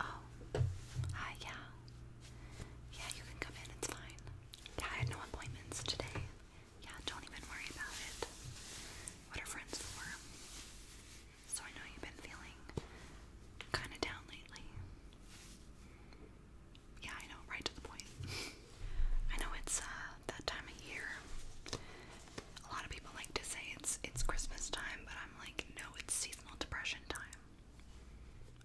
Oh, hi, yeah. Yeah, you can come in, it's fine. Yeah, I had no appointments today. Yeah, don't even worry about it. What are friends for? So I know you've been feeling kind of down lately. Yeah, I know, right to the point. I know it's uh, that time of year. A lot of people like to say it's it's Christmas time, but I'm like, no, it's seasonal depression time.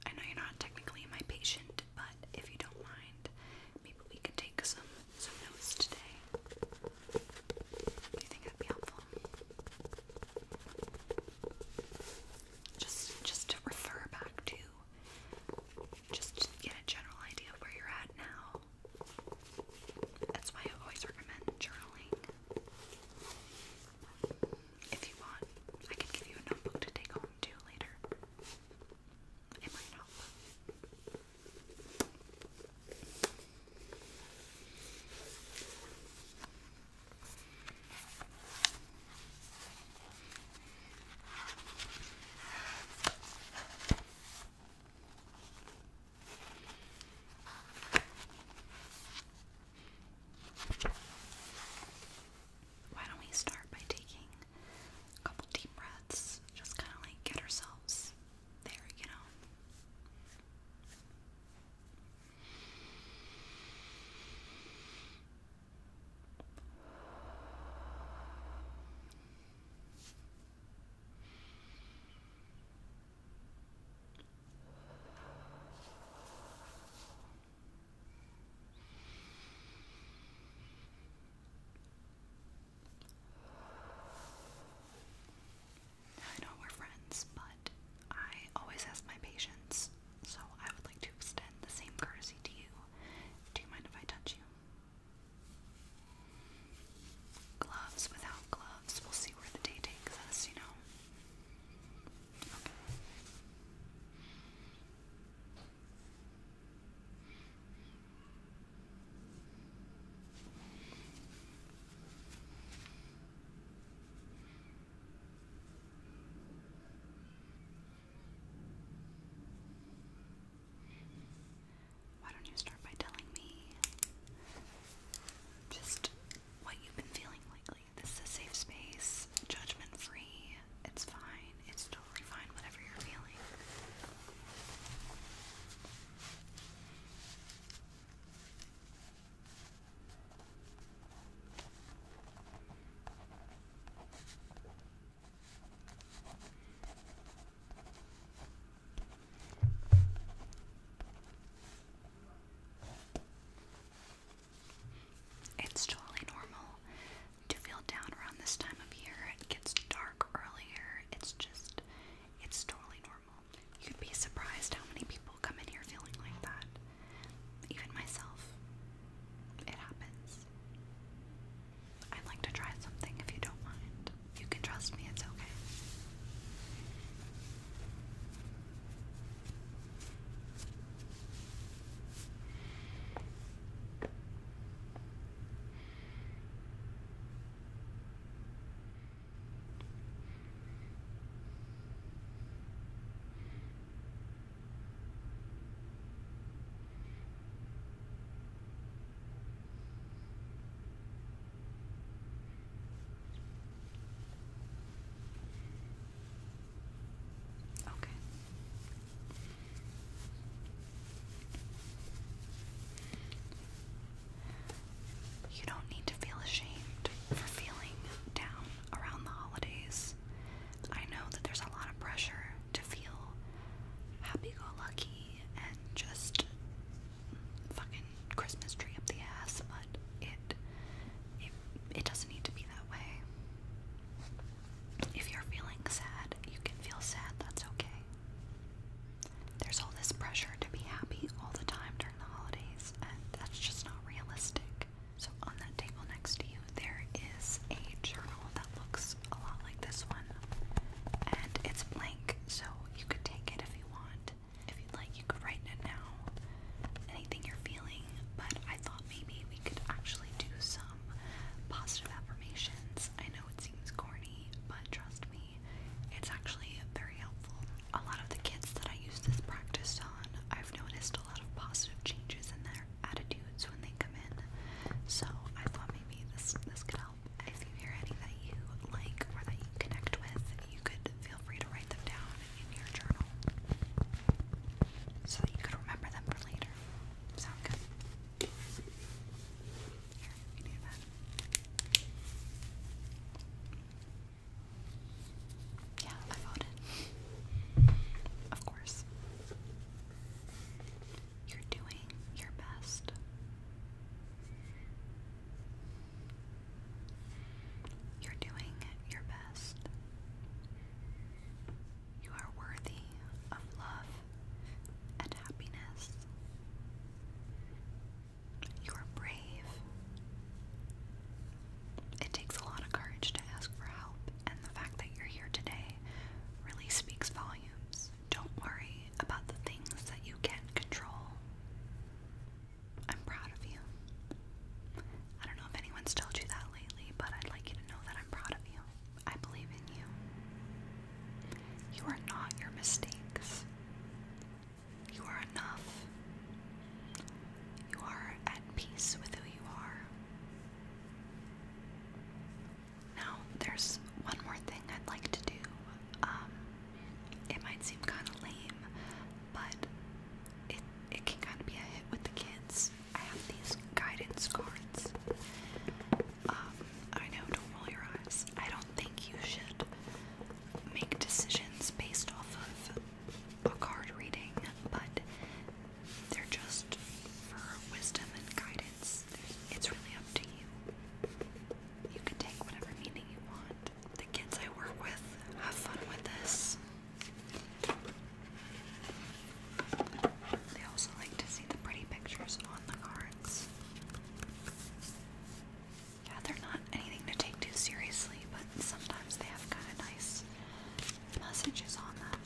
I know you're not technically my patient, but if you don't mind, maybe we could take some some notes today. Do you think that'd be helpful? Just just to refer back to just to get a general idea of where you're at now. That's why I always recommend journaling. If you want, I can give you a notebook to take home too later. It might help. Why don't we start by taking a couple deep breaths, just kind of like get ourselves there, you know? I know we're friends, but I always ask my patients, so I would like to extend the same courtesy to you. Do you mind if I touch you? Gloves without gloves. We'll see where the day takes us, you know. Why don't you start by telling me just what you've been feeling lately? This is a safe space, judgment free. It's fine. It's totally fine, whatever you're feeling. It's totally normal to feel down around this time of year. It gets dark earlier. It's just, it's totally normal. You'd be surprised how many people come in here feeling like that. Even myself. It happens. I'd like to try something if you don't mind. You can trust me, it's okay. Okay. You don't need to feel ashamed for feeling down around the holidays. I know that there's a lot of pressure to feel happy go lucky and just fucking Christmas tree up the ass, but it, it it doesn't need to be that way. If you're feeling sad, you can feel sad, that's okay. There's all this pressure to be happy all the time during the holidays, and that's just not realistic. So, on that table next to you, there is a journal that looks a lot like this one, and it's blank, so you could take it if you want. If you'd like, you could write in it now, anything you're feeling, but I thought maybe we could actually do some positive affirmations. I know it seems corny, but trust me, it's actually very helpful. A lot of the kids that I use this practice on, I've noticed a lot of positive changes in there attitudes when they come in. So I thought maybe this this could help. If you hear any that you like or that you connect with, you could feel free to write them down in your journal so that you could remember them for later. Sound good? Yeah, I voted. Of course. You're doing your best. You're doing your best. You are worthy of love and happiness. You are brave. It takes a lot of courage to ask for help, and the fact that you're here today really speaks volumes. Don't worry about the things that you can control. I'm proud of you. I don't know if anyone's told you that lately, but I'd like you to know that I'm proud of you. I believe in you. You are not your mistakes. You are enough. You are at peace with who you are. Now, there's one more thing I'd like to do. Um, it might seem kind of lame, but it it can kind of be a hit with the kids. I have these guidance cards. Um, I know, don't roll your eyes. I don't think you should make decisions based off of book hard reading, but they're just for wisdom and guidance. It's really up to you. You can take whatever meaning you want. The kids I work with have fun with this. They also like to see the pretty pictures on the cards. Yeah, they're not anything to take too seriously, but sometimes they have kind of nice messages on them.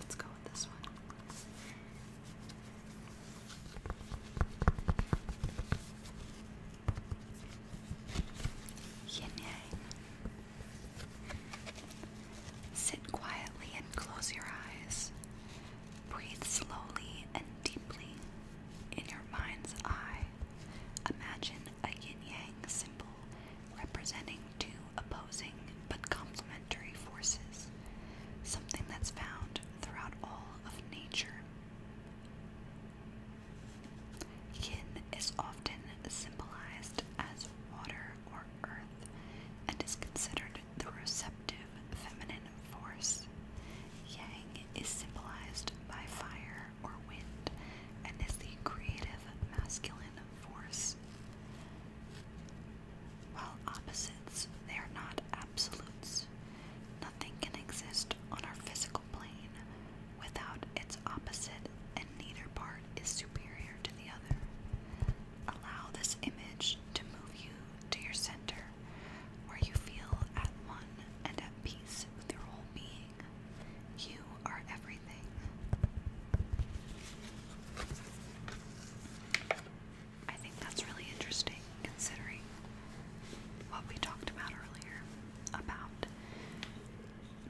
Let's go with this one. Yin Yang. Sit quietly and close your eyes. Breathe slowly and deeply. In your mind's eye, imagine a yin yang symbol representing two opposing but complementary forces, something that's found throughout all of nature Yin is often symbolized as water or earth and is considered the receptive feminine force. Yang is symbolized by fire or wind and is the creative masculine force. While opposites, they are not absolutes. Nothing can exist on our physical plane without its opposite, and neither part is superior to the other. Allow this image to move you to your center, where you feel at one and at peace with your whole being. You are everything. I think that's really interesting considering what we talked about earlier about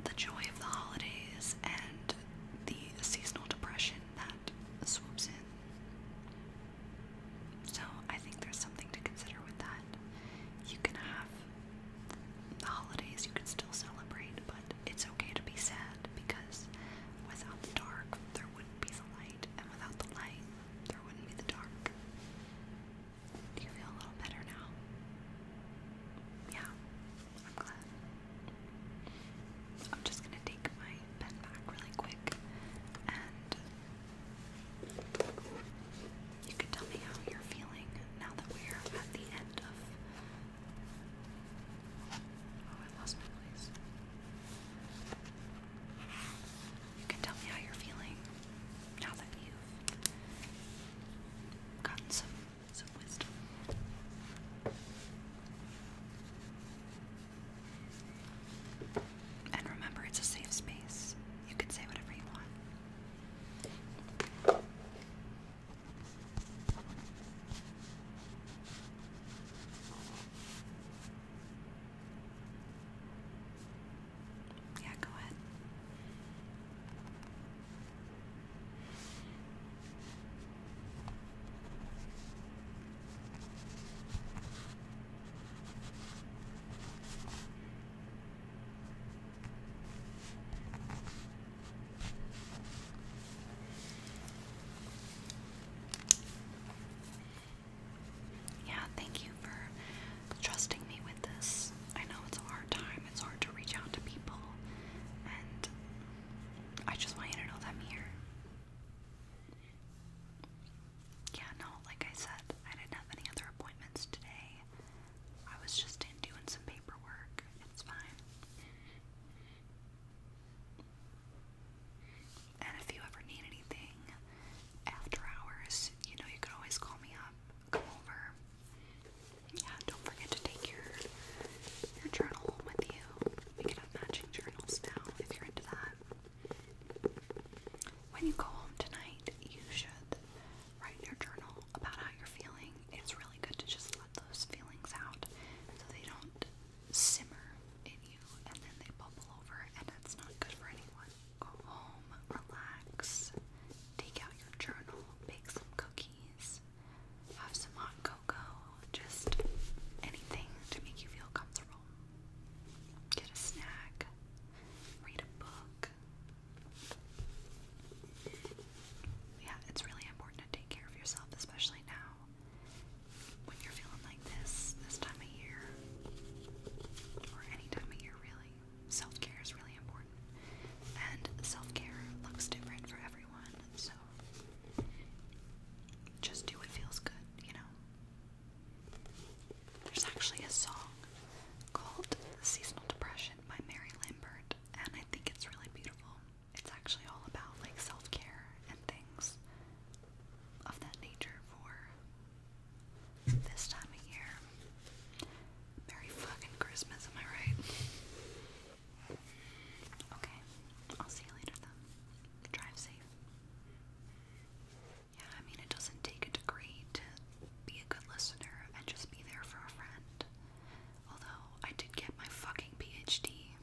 the joy of the holidays and the seasonal depression that swoops in. So I think there's something to consider with that. You can have the holidays, you can still celebrate, but it's okay to be sad because without the dark, there wouldn't be the light, and without the light, there wouldn't be the dark. you feel a little better now? Yeah, I'm glad. I'm just gonna take my pen back really quick and you can tell me how you're feeling now that we're at the end of. Oh, I lost my place. You can tell me how you're feeling now that you've gotten some wisdom. And remember, it's a safe space. You can say whatever you want. Yeah, go ahead. Yeah, thank you for trusting me with this. I know it's a hard time, it's hard to reach out to people, and I just want you to know that I'm here. Yeah, no, like I said, I didn't have any other appointments today. I was just in doing some paperwork. It's fine. And if you ever need anything after hours, you know you can always call me up, come over. Yeah, don't forget to take your your journal home with you. We can have matching journals now if you're into that. When you go home tonight, you should write in your journal about how you're feeling. It's really good to just let those feelings out so they don't simmer in you and then they bubble over, and that's not good for anyone. Go home, relax, take out your journal, bake some cookies, have some hot cocoa, just anything to make you feel comfortable. Get a snack, read a book. Yeah, it's really important to take care of yourself, especially now when you're feeling like this, this time of year, or any time of year really, self care is really important. And self care looks different for everyone, so just do what feels good, you know. There's actually a song called Seasonal Depression by Mary Lambert, and I think it's really beautiful. It's actually all about like self care and things of that nature for this time of year. Merry fucking Christmas, am I right? Okay, I'll see you later then. Drive safe. Yeah, I mean, it doesn't take a degree to be a good listener and just be there for a friend. Although, I did get my fucking PhD.